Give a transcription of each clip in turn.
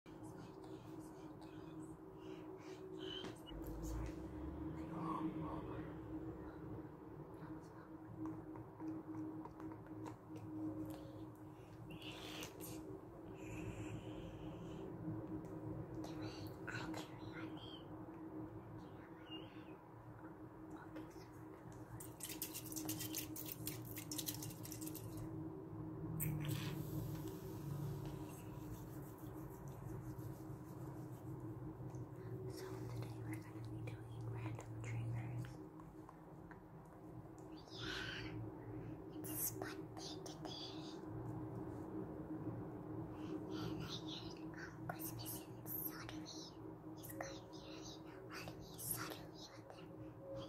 Okay, so we so today we're going to be doing random triggers. Yeah, it's a fun thing to And I heard um, Christmas in Sodomy is going nearly Sodomy, Sodomy on their neck.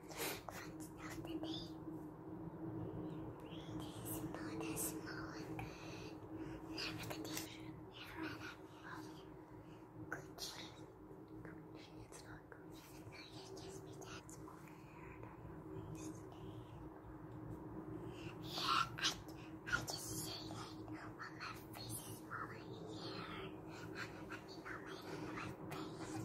fun stuff today. This is more than small and good. Never condition. Never run up. Gucci. Gucci, it's not Gucci. No, you just be that small. Yeah, I, I just say that when my face is smaller in here. I mean, not my, my face.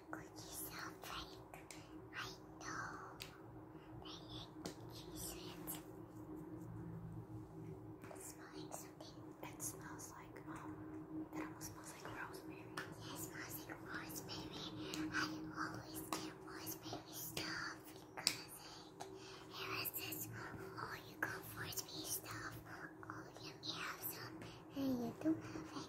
the cookies are I know. I like cookies. It's smelling something. It smells like, it almost smells like rosemary. Yeah, smells like rosemary. I always get rosemary stuff because, like, it was this, oh, you got rosemary stuff. Oh, you have some, and you don't have it.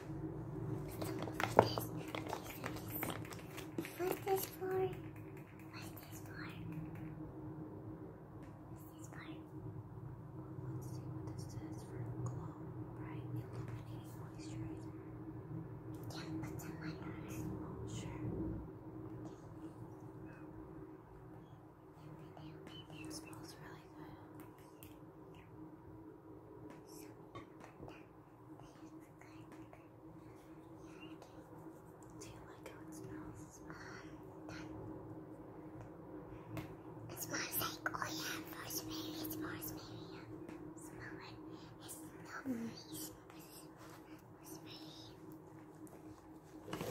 What's this? for? What's this for? What's this for? Let's see what this says for glow, bright, illuminating moisturizer. Yeah, put some on yours. Oh, sure. Okay. It smells really good. Do you like how it smells? Um, it smells like, oh yeah, rosemary, it's rosemary, yeah. Smell it. It's not freezing, but it's rosemary.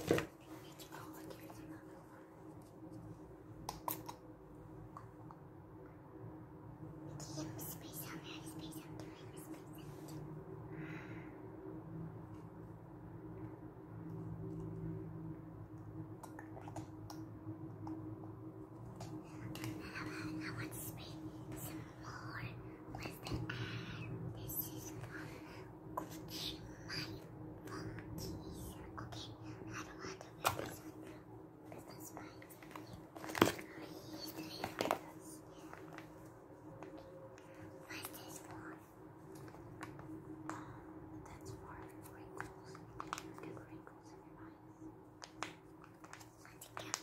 It's all like it's the yellow space out, the space out, the yellow space out. Okay. I want to spray some more with the ad. This is my phone Okay, I don't want to wear this Christmas spice. I What is this for? Oh, that's for wrinkles. You wrinkles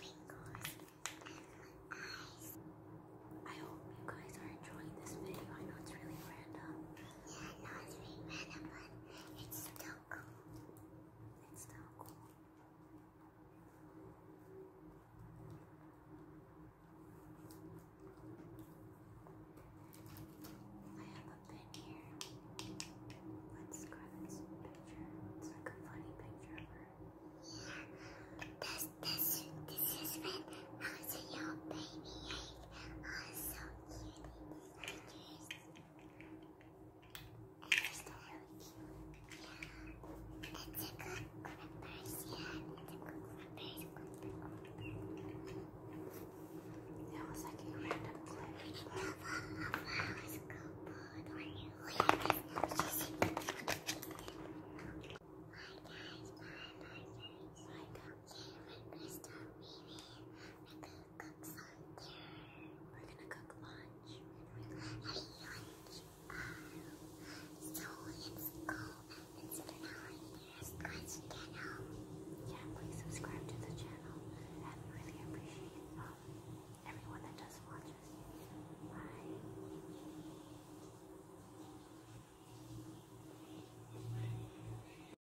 in your eyes. I get wrinkles eyes. I hope you guys are enjoying this video. I know it's really random. Yeah, I really random, but it's still taco. It's I have a pen here. Let's grab this picture. It's like a picture of her. Yeah. This, this, this is when also your baby ate. Oh, so cute they It's a good clippers, yeah. It's a good clippers, That was like a random clip. flowers you. guys, my, my, stop reading, we're gonna cook something. We're gonna cook lunch. have lunch. so let's go and sit an hour here as Christ channel. Yeah, please subscribe to the channel. I really appreciate everyone that does watch us. Bye.